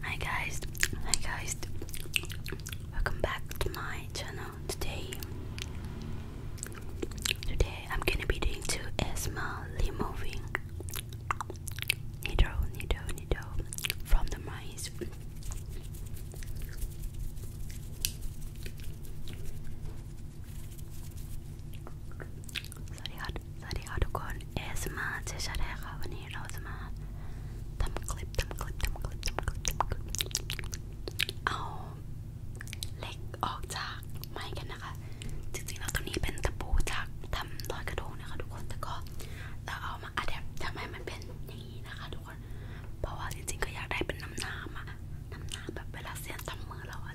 Hi guys, hi guys, welcome back to my channel. Today, today I'm gonna be doing two asthma removing needle, needle, needle from the mice. สวัสดีค่ะสวัสดีค่ะทุกคน เอสมาเจชาแดค่ะวันนี้เราจะมาทำคลิปทำคลิปทำคลิปทำคลิปทำคลิปเอาเหล็กออกจากไม้กันนะคะจริงๆแล้วตัวนี้เป็นตะปูจากทำลอยกระทงนะคะทุกคนแต่ก็เราเอามาอัดแอปทำให้มันเป็นอย่างนี้นะคะทุกคนเพราะว่าจริงๆก็อยากได้เป็นน้ำน้ำอะน้ำน้ำแบบเวลาเสียนทำมือเราอะ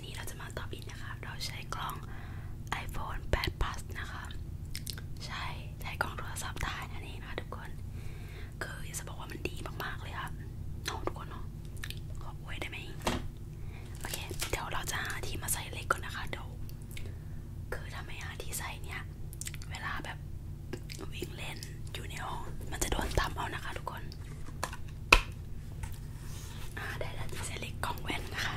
นนี้เราจะมาตอบินนะคะ เราใช้กล้อง iPhone 8 Plus นะคะ ใช้ใช้กล้องโทรศัพท์ถ่ายนั่นเอนะทุกคน คือจะบอกว่ามันดีมากๆเลยค่ะน้อทุกคนเนาะขออวยได้ไหมโอเค เดี๋ยวเราจะหาที่มาใส่เล็กก่อนนะคะเดี๋ยวคือถ้าไมหาที่ใส่เนี่ยเวลาแบบวิ่งเล่นอยู่ในห้องมันจะโดนตำเอานะคะทุกคนอ่าได้แล้วที่เซเล็กกล่องแว่นนะคะ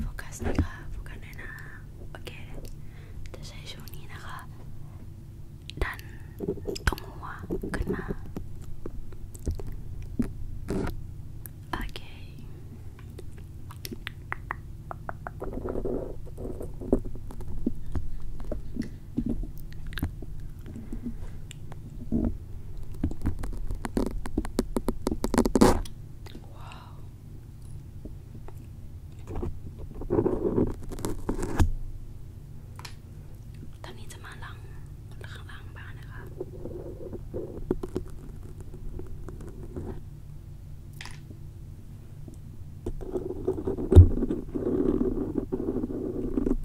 โฟกัสนะคะโฟกัสหน่อยนะโอเคจะใช้ช่วงนี้นะคะ ดันตรงหัวขึ้นมา โอเค Wow. ตอนนี้จะมาล้างข้างล่างบ้านนะคะเ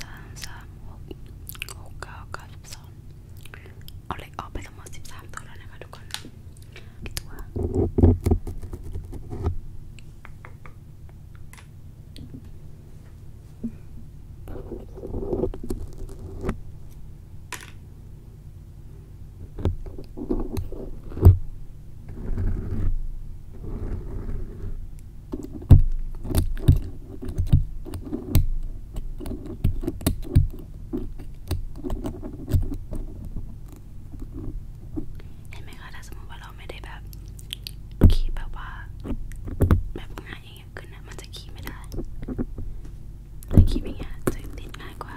สามสามหกหกเก้าเก้าสิบสองเอาเลขออกไปทั้งหมดสิบสามตัวแล้วนะคะทุกคนตัวเห็นไหมคะถ้าสมมติว่าเราไม่ได้แบบขีดแบบว่าแบบง่ายอย่างเงี้ยขึ้นนะมันจะขีดไม่ได้ถ้าขีดอย่างเงี้ยจะติดง่ายกว่า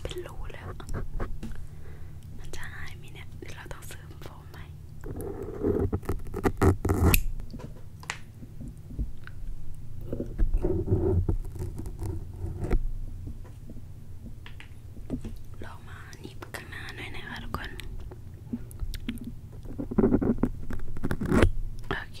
เป็นรูแล้ว มันจะหายไหมเนี่ยเดี๋ยวเราต้องซื้อโฟมใหม่ลองมาหนีบข้างหน้าหน่อยนะคะทุกคน โอเค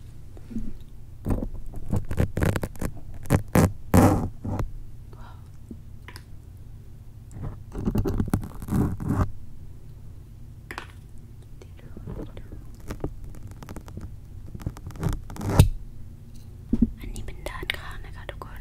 อันนี้เป็นด้านข้างนะคะทุกคน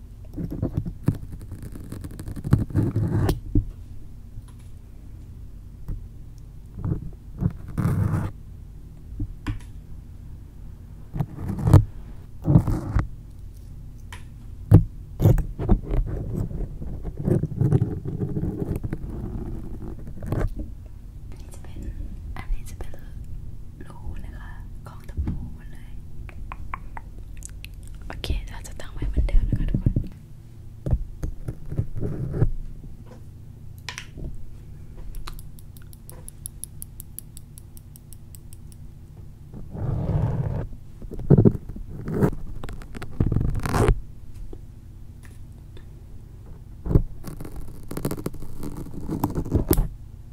จะเป็นอันนี้จะเป็นรูนะคะขอกตะปูหมดเลยโอเคเราจะตั้งไว้เหมือนเดิมนะคะทุกคน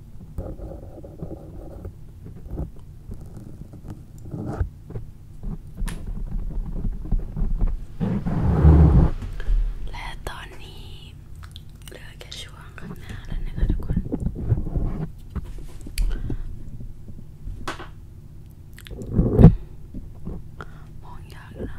และตอนนี้เหลือแค่ช่วงข้างหน้าแล้วนะคะทุกคนมองยากนะ